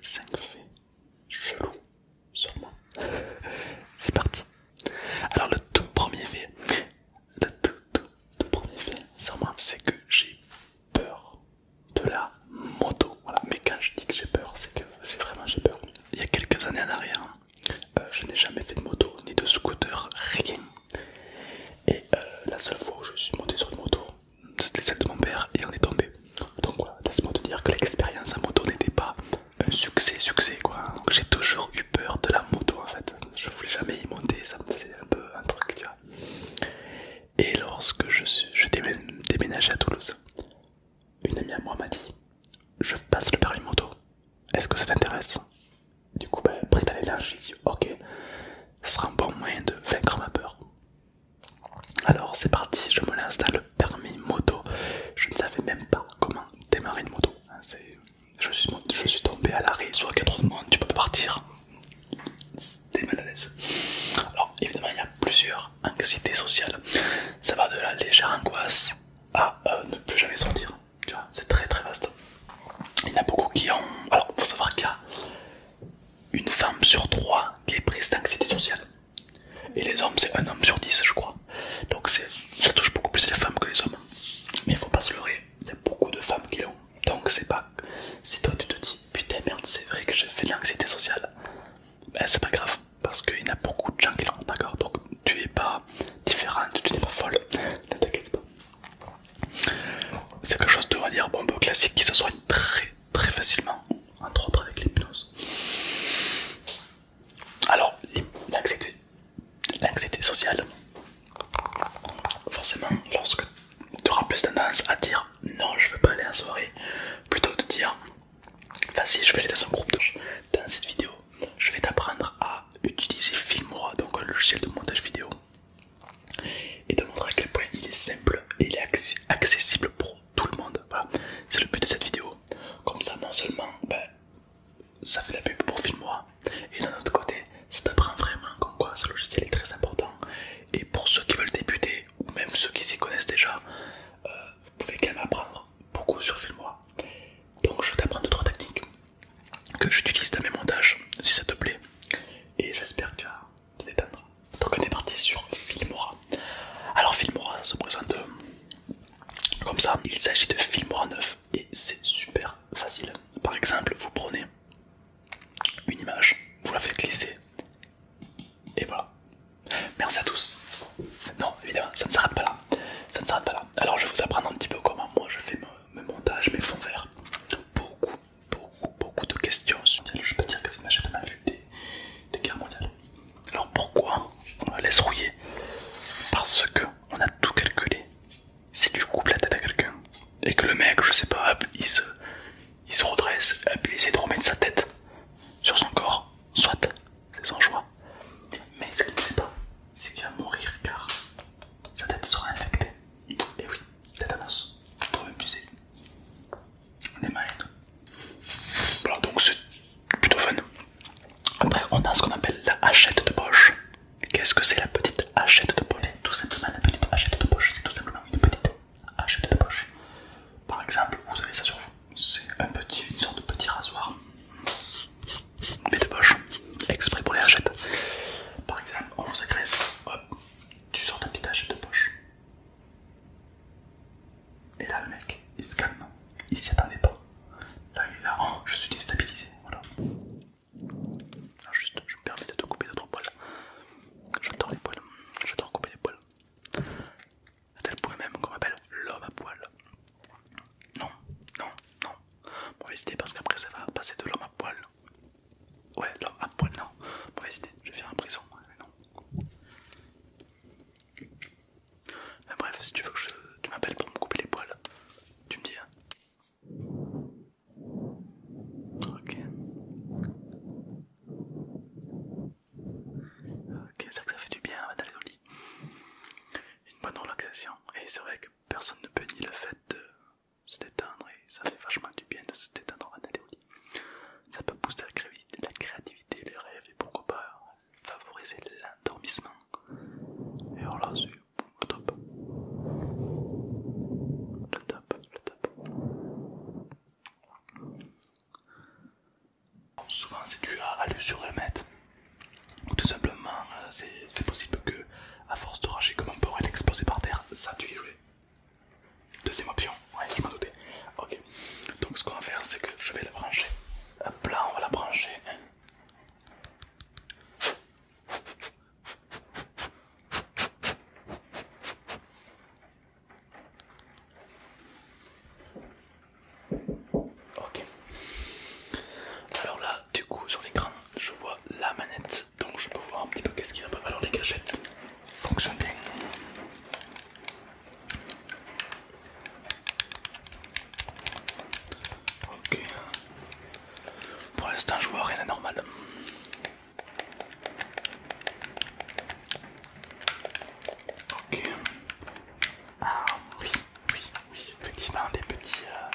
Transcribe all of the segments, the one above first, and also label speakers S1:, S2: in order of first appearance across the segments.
S1: 5 faits sur moi C'est parti. Alors, le tout premier fait, le tout, tout, premier fait, sûrement, c'est que j'ai peur de la moto. Voilà. Mais quand je dis que j'ai peur, c'est que j'ai vraiment j'ai peur. Il y a quelques années en arrière, euh, je n'ai jamais fait de moto, ni de scooter, rien. Et euh, la seule fois où je suis monté sur une moto, c'était celle de mon père et en est tombé. Donc voilà, laisse-moi te dire que l'expérience à moto n'était pas un succès, succès quoi. j'ai toujours eu peur de la moto en fait. Je voulais jamais y monter, ça me faisait un peu un truc, tu vois. Et lorsque je, suis, je déménageais à Toulouse, une amie à moi m'a dit Je passe le permis moto, est-ce que ça t'intéresse Du coup, ben, à dans j'ai dit Ok, ce sera un bon moyen de vaincre ma peur. Alors c'est parti, je me lance dans le permis moto. Je ne savais même pas comment démarrer une moto. Je suis, tombé à l'arrêt, soit quatre de monde, tu peux partir. C'était mal à l'aise. Alors évidemment il y a plusieurs anxiétés sociales. Ça va de la légère angoisse à euh, ne plus jamais sortir. c'est très très vaste. Il y en a beaucoup qui ont... Alors faut savoir qu'il y a une femme sur trois qui est prise d'anxiété sociale. Et les hommes, c'est un homme sur dix, je crois. Donc ça touche beaucoup plus les femmes que les hommes. Mais il faut pas se leurrer, c'est beaucoup de femmes qui l'ont. Donc c'est pas... Si toi tu te dis, putain merde, c'est vrai que j'ai fait de l'anxiété sociale, ben c'est pas grave, parce qu'il y en a beaucoup de gens qui l'ont, d'accord Donc tu es pas différente, tu n'es pas folle, t'inquiète pas. C'est quelque chose de, va dire, bon, classique qui se soigne très très facilement, entre autres avec l'hypnose. Alors, l'anxiété sociale, forcément, lorsque tu auras plus tendance à dire non, je veux pas aller en soirée, plutôt de dire vas-y, je vais aller dans un groupe Dans cette vidéo, je vais t'apprendre à utiliser Filmora, donc un logiciel de montage vidéo et de montrer à quel point il est simple et il est accessible pour tout le monde. c'est le but de cette vidéo. Comme ça, non seulement ben, ça fait la pub pour Filmora, et d'un autre côté, ça t'apprend vraiment comme quoi ce logiciel est très important. Et pour ceux qui veulent débuter, ou même ceux qui s'y connaissent déjà, euh, vous pouvez quand même apprendre beaucoup sur Filmora. Donc, je vais t'apprendre trois techniques que j'utilise dans mes montages si ça te plaît. Et j'espère que tu as donc on est parti sur Filmora. Alors Filmora ça se présente euh, comme ça. Il s'agit de Filmora 9 et c'est super facile. Par exemple, vous prenez une image, vous la faites glisser et voilà. Merci à tous. Non, évidemment, ça ne s'arrête pas là. Ça ne s'arrête pas là. Alors je vais vous apprendre un petit peu comment moi je fais mes montages, mes fonds verts. Beaucoup, beaucoup, beaucoup de questions sur Je peux dire que c'est une chaîne à ma vue des, guerres mondiales. Alors pourquoi on la laisse rouiller Parce que on a tout calculé. Si tu coupes la tête à quelqu'un et que le mec, je sais pas, il se, il se redresse, il essaie de remettre sa tête sur son corps, soit c'est son choix. Mais ce qu'il ne sait pas, c'est qu'il va mourir car sa tête sera infectée. Et oui, tétanos, trop abusé, des mains et Voilà, donc c'est plutôt fun. Après, on a ce qu'on appelle la hachette de poche. Qu'est-ce que c'est la petite hachette de poche Tout simplement, la petite hachette de poche, c'est tout simplement une petite hachette de poche. Par exemple, vous avez ça sur vous, c'est un petit, une sorte de petit rasoir, mais de poche, exprès pour les hachettes. Par exemple, on vous hop, tu sors ton petit achet de poche. Et là, le mec, il se calme, il s'y attendait pas. Là, il est là, oh, je suis déstabilisé. Alors, ah, juste, je me permets de te couper d'autres poils. J'adore les poils, j'adore couper les poils. À tel point même qu'on m'appelle l'homme à poil. Non, non, non. Bon, hésitez parce qu'après, ça va passer de l'homme à poil Ouais, alors à poil, non. pas hésiter, je vais faire un prison. non. bref, si tu veux que je, tu m'appelles pour me couper les poils, tu me dis. Hein. ok. Ok, c'est que ça fait du bien d'aller au lit. Une bonne relaxation. Et c'est vrai que personne ne peut nier le fait de, se détendre et ça fait vachement du bien de se détendre avant d'aller au lit. Ça peut booster la créativité, les rêves et pourquoi pas favoriser l'endormissement. Et alors là, c'est le top. Le top, le top. Souvent, c'est dû à l'usure sur Ou tout simplement, euh, c'est possible que à force de racheter comme un porc elle par terre, ça tu y joué. Deuxième option, ouais je m'en doutais. Ok, donc ce qu'on va faire c'est que je vais la brancher. Hop là on va la brancher. Ok. Alors là, du coup, sur l'écran, je vois la manette donc je peux voir un petit peu qu'est-ce qui va pas. Alors les gâchettes fonctionnent bien. Ok. Pour l'instant je vois rien normal. Ok. Ah oui, oui, oui. Effectivement des petits... Euh,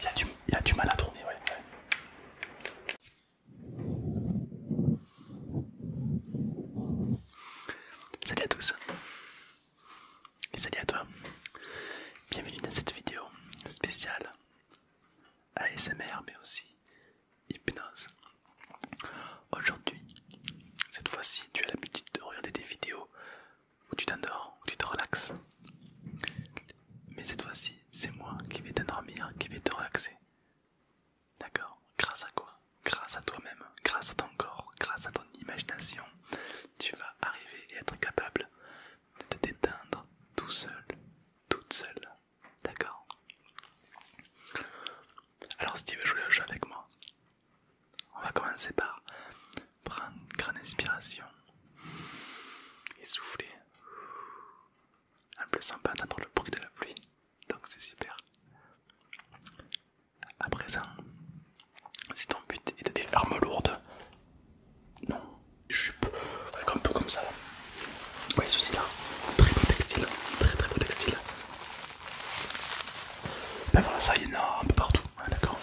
S1: il y, a du, mal à tourner, ouais. Salut à tous et salut à toi, bienvenue dans cette vidéo spéciale ASMR mais aussi hypnose. Aujourd'hui, cette fois-ci, tu as l'habitude de regarder des vidéos où tu t'endors, où tu te relaxes. Mais cette fois-ci, c'est moi qui vais t'endormir, qui vais te relaxer. D'accord Grâce à quoi Grâce à toi-même, grâce à ton corps, grâce à ton imagination, tu vas arriver et être capable de te déteindre tout seul, toute seule. D'accord Alors si tu veux jouer le jeu avec moi, on va commencer par prendre une grande inspiration et souffler En plus, on peut entendre le bruit de la pluie, donc c'est super. À présent, si ton but est des armes lourdes, non, jupe, un peu comme ça. voyez ceci là, très beau textile, très très beau textile. Ben voilà, ça y est un peu partout, ah, d'accord.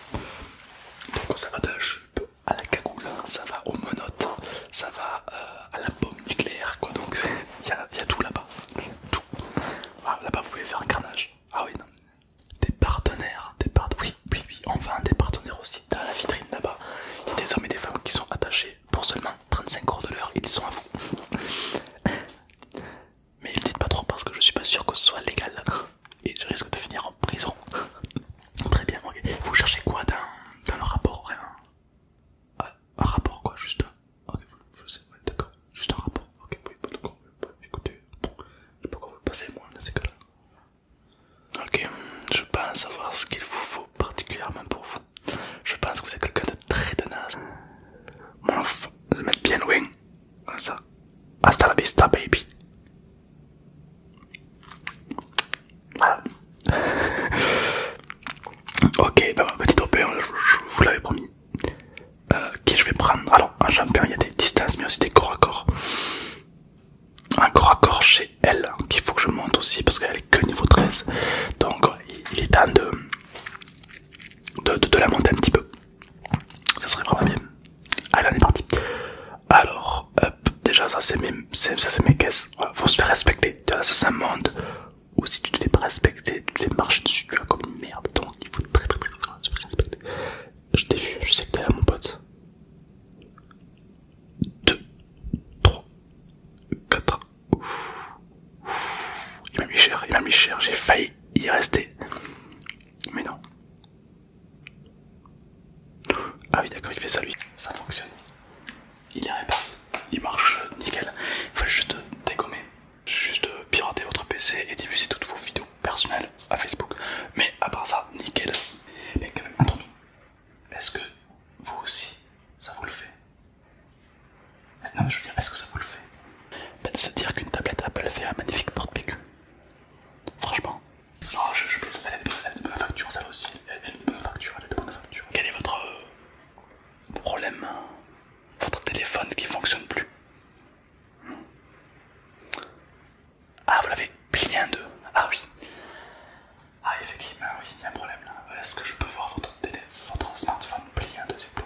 S1: Donc ça va de la jupe à la cagoule, hein, ça va aux menottes, ça va euh, à la bombe nucléaire quoi donc il y, a tout là-bas. Tout. Ah, là-bas vous pouvez faire un carnage. Ah oui non. Des partenaires, des oui, oui, oui, on vend des partenaires aussi. Dans la vitrine là-bas, il y a des hommes et des femmes qui sont attachés pour seulement 35 euros de l'heure, ils sont à vous. Mais ne dites pas trop parce que je suis pas sûr que ce soit légal et je risque de finir en prison. Très bien, ok. Vous cherchez quoi dans, le rapport vraiment ah, Un rapport quoi, juste un. Ok, je sais. ouais, d'accord. Juste un rapport. Ok, oui, d'accord. Écoutez, pourquoi vous passez moi dans ces cas-là Ok, je pense savoir ce qu'il vous faut particulièrement pour vous. Je pense que vous êtes quelqu'un de très tenace. Bon, le mettre bien loin, ça. Hasta la vista, baby. ok, bah, petite je, vous l'avais promis. Euh, qui je vais prendre Alors, un champion, il y a des distances, mais aussi des corps à corps. Un corps à corps chez elle, hein, qu'il faut que je monte aussi, parce qu'elle est que niveau 13. Donc, il est temps de, de la monter un petit peu ça serait vraiment bien. Allez, on est parti. Alors, déjà, ça c'est mes, mes caisses. faut se faire respecter. Ça, c'est un monde où si tu te fais pas respecter, tu te fais marcher dessus, tu as comme merde. Donc, il faut très très très, très, respecter. Je t'ai vu, je sais que t'es là, mon pote. 2, 3, 4. Il m'a mis cher, il m'a mis cher. J'ai failli y rester. Mais non. Ah oui d'accord il fait ça lui, ça fonctionne. Il y pas, il marche nickel. Il fallait juste dégommer, juste pirater votre PC et diffuser toutes vos vidéos personnelles à Facebook. Mais à part ça, nickel. Mais quand même, entre nous, est-ce que vous aussi, ça vous le fait Non mais je veux dire, est-ce que ça vous le fait peut De se dire qu'une tablette Apple fait un magnifique porte Franchement. Oh, elle a de bonne facture ça aussi. Elle, peut a de bonne facture. elle de Quel est votre euh, problème hein Votre téléphone qui fonctionne plus hmm. Ah, vous l'avez plié en deux Ah oui. Ah, effectivement, oui, il y a un problème là. Est-ce que je peux voir votre, téléphone, votre smartphone plié en deux, s'il vous plaît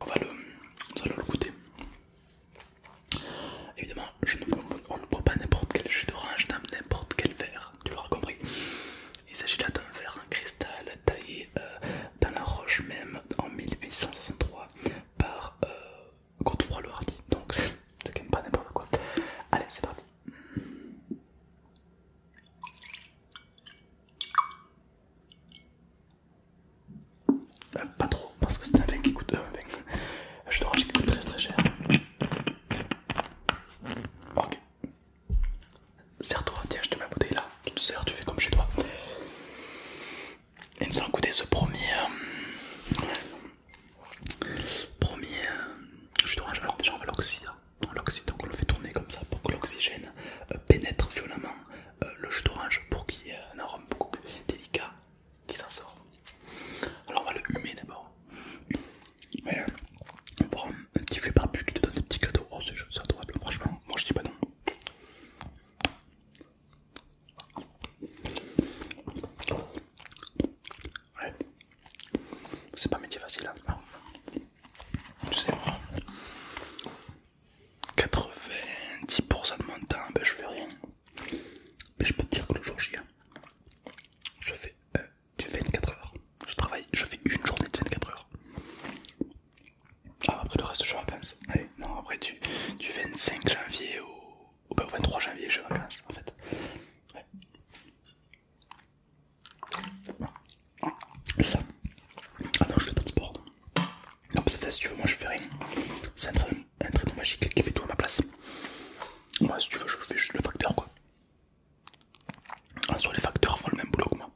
S1: On va le, on va le goûter. Évidemment, on ne boit pas n'importe quel jus d'orange dans n'importe quel verre, tu l'auras compris. Il s'agit là d'un verre en cristal taillé euh, dans la roche même en 1863 par euh, Godefroy le Hardy. Donc c'est quand même pas n'importe quoi. Allez, c'est parti. Euh, pas trop, parce que c'est un vin qui coûte. Euh, vin, euh, un jus d'orange qui coûte très très cher. Ok. Serre-toi, tiens, je te mets la bouteille là. Tu te sers, tu fais comme chez toi. Et nous allons goûter ce premier. premier jus d'orange. Alors, déjà, on va l'oxyde. Hein. donc on le fait tourner comme ça pour que l'oxygène pénètre violemment le jus d'orange pour qu'il y ait un arôme beaucoup plus qui s'en sort. Alors on va le humer d'abord. Mais on voir un petit jus barbu qui te donne des petits cadeaux. Oh c'est adorable, franchement, moi je dis pas non. Ouais. C'est pas un métier facile. Hein. Tu sais, 90% de mon temps, ben, je fais rien. Mais je peux te dire que le jour J, hein, je fais euh, du 24 h Je travaille, je fais une journée de 24 h ah, après le reste, je suis en vacances. non, après du, 25 janvier au, 23 ben, janvier, je suis en vacances fait. Ouais. Ah non, je fais pas de sport. Non, parce que si tu veux, moi je fais rien. C'est un, traîneau magique qui fait tout à ma place. Moi, si tu veux, je fais juste le facteur quoi. En soit les facteurs font le même boulot que moi.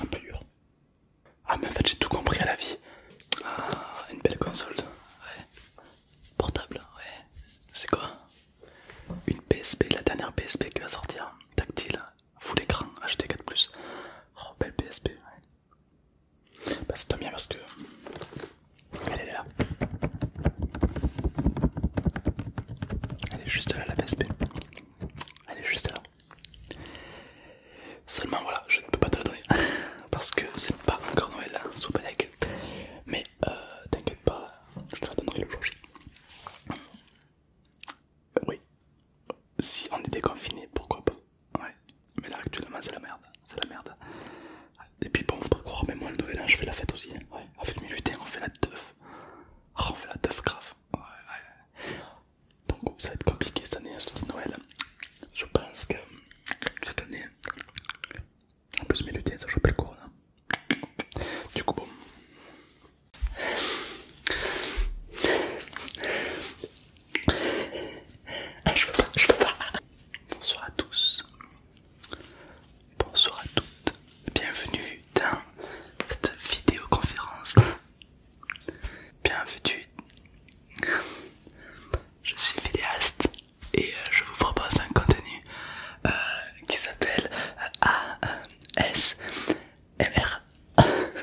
S1: Un peu dur. Ah, mais en fait, j'ai tout compris à la vie. Ah, une belle console. Ouais. Portable, ouais. C'est quoi Une PSP, la dernière PSP qui va sortir. Tactile, full écran HT 4 plus oh, belle PSP, Bah, c'est bien parce que. Elle, est là. Elle est juste là, la PSP. Elle est juste là. Seulement voilà, je ne peux pas te la donner parce que c'est pas encore Noël hein, sous Mais euh, t'inquiète pas, je te la donnerai le jour J. Oui. Si on était confiné, pourquoi pas Ouais. Mais là actuellement c'est la merde. C'est la merde. Et puis bon, faut pas croire, mais moi le noël an je fais la fête aussi. Ouais. Avec le lutin, on fait la teuf. Ah, on fait la teuf grave. Donc ça va être compliqué cette année, hein, Noël. Je pense que cette année. En plus mes lutins ça chopé le corona. Hein. Du coup bon. Ah, je peux pas, Bonsoir à tous. Bonsoir à toutes. Bienvenue dans cette vidéoconférence. Bienvenue. Je suis vidéaste et euh, je vous propose un contenu euh, qui s'appelle A.S. MR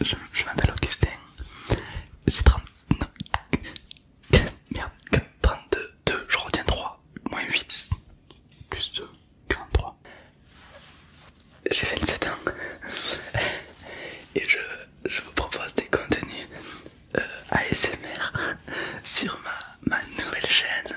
S1: je m'appelle Augustin. J'ai 30. Merde, 32, 2, je retiens 3, moins 8, plus 2, 43. J'ai 27 ans et je, vous propose des contenus euh, ASMR sur ma, ma nouvelle chaîne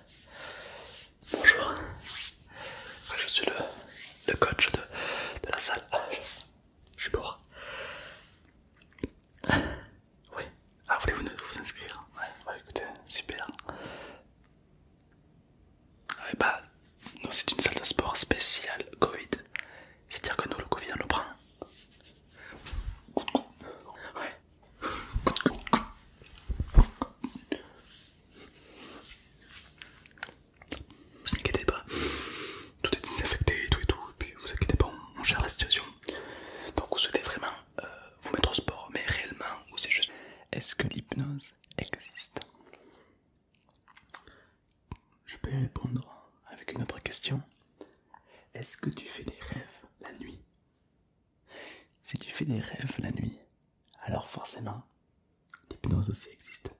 S1: Bonjour, je suis le, coach de, la salle. Ah, je suis pour. Oui, ah, voulez vous vous inscrire Ouais, écoutez, super. Ah, bah, nous c'est une salle de sport spéciale Covid. C'est-à-dire que nous, le Covid, on le prend. Ouais, vous inquiétez pas, tout est désinfecté et tout et tout, et puis vous inquiétez pas, on, gère la situation. Donc vous souhaitez vraiment euh, vous mettre au sport, mais réellement, ou c'est juste... Est-ce que l'hypnose existe Je peux répondre avec une autre question. Est-ce que tu fais des rêves la nuit si tu fais des rêves la nuit, alors forcément, l'hypnose aussi existe.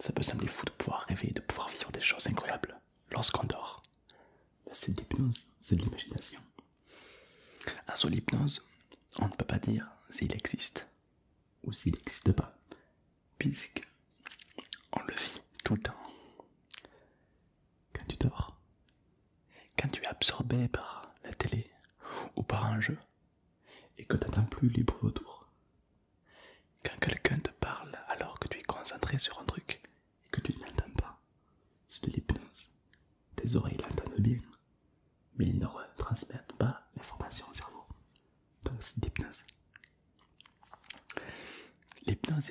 S1: Ça peut sembler fou de pouvoir rêver, de pouvoir vivre des choses incroyables lorsqu'on dort. C'est de l'hypnose, c'est de l'imagination. Un seul l'hypnose, on ne peut pas dire s'il existe ou s'il n'existe pas, puisque on le vit tout le temps quand tu dors, quand tu es absorbé par la télé ou par un jeu et que tu n'entends plus libre autour, quand quelqu'un te parle alors que tu es concentré sur un truc et que tu ne l'entends pas, c'est de l'hypnose. Tes oreilles l'entendent bien, mais ils ne transmettent pas l'information au cerveau. Donc c'est de l'hypnose. L'hypnose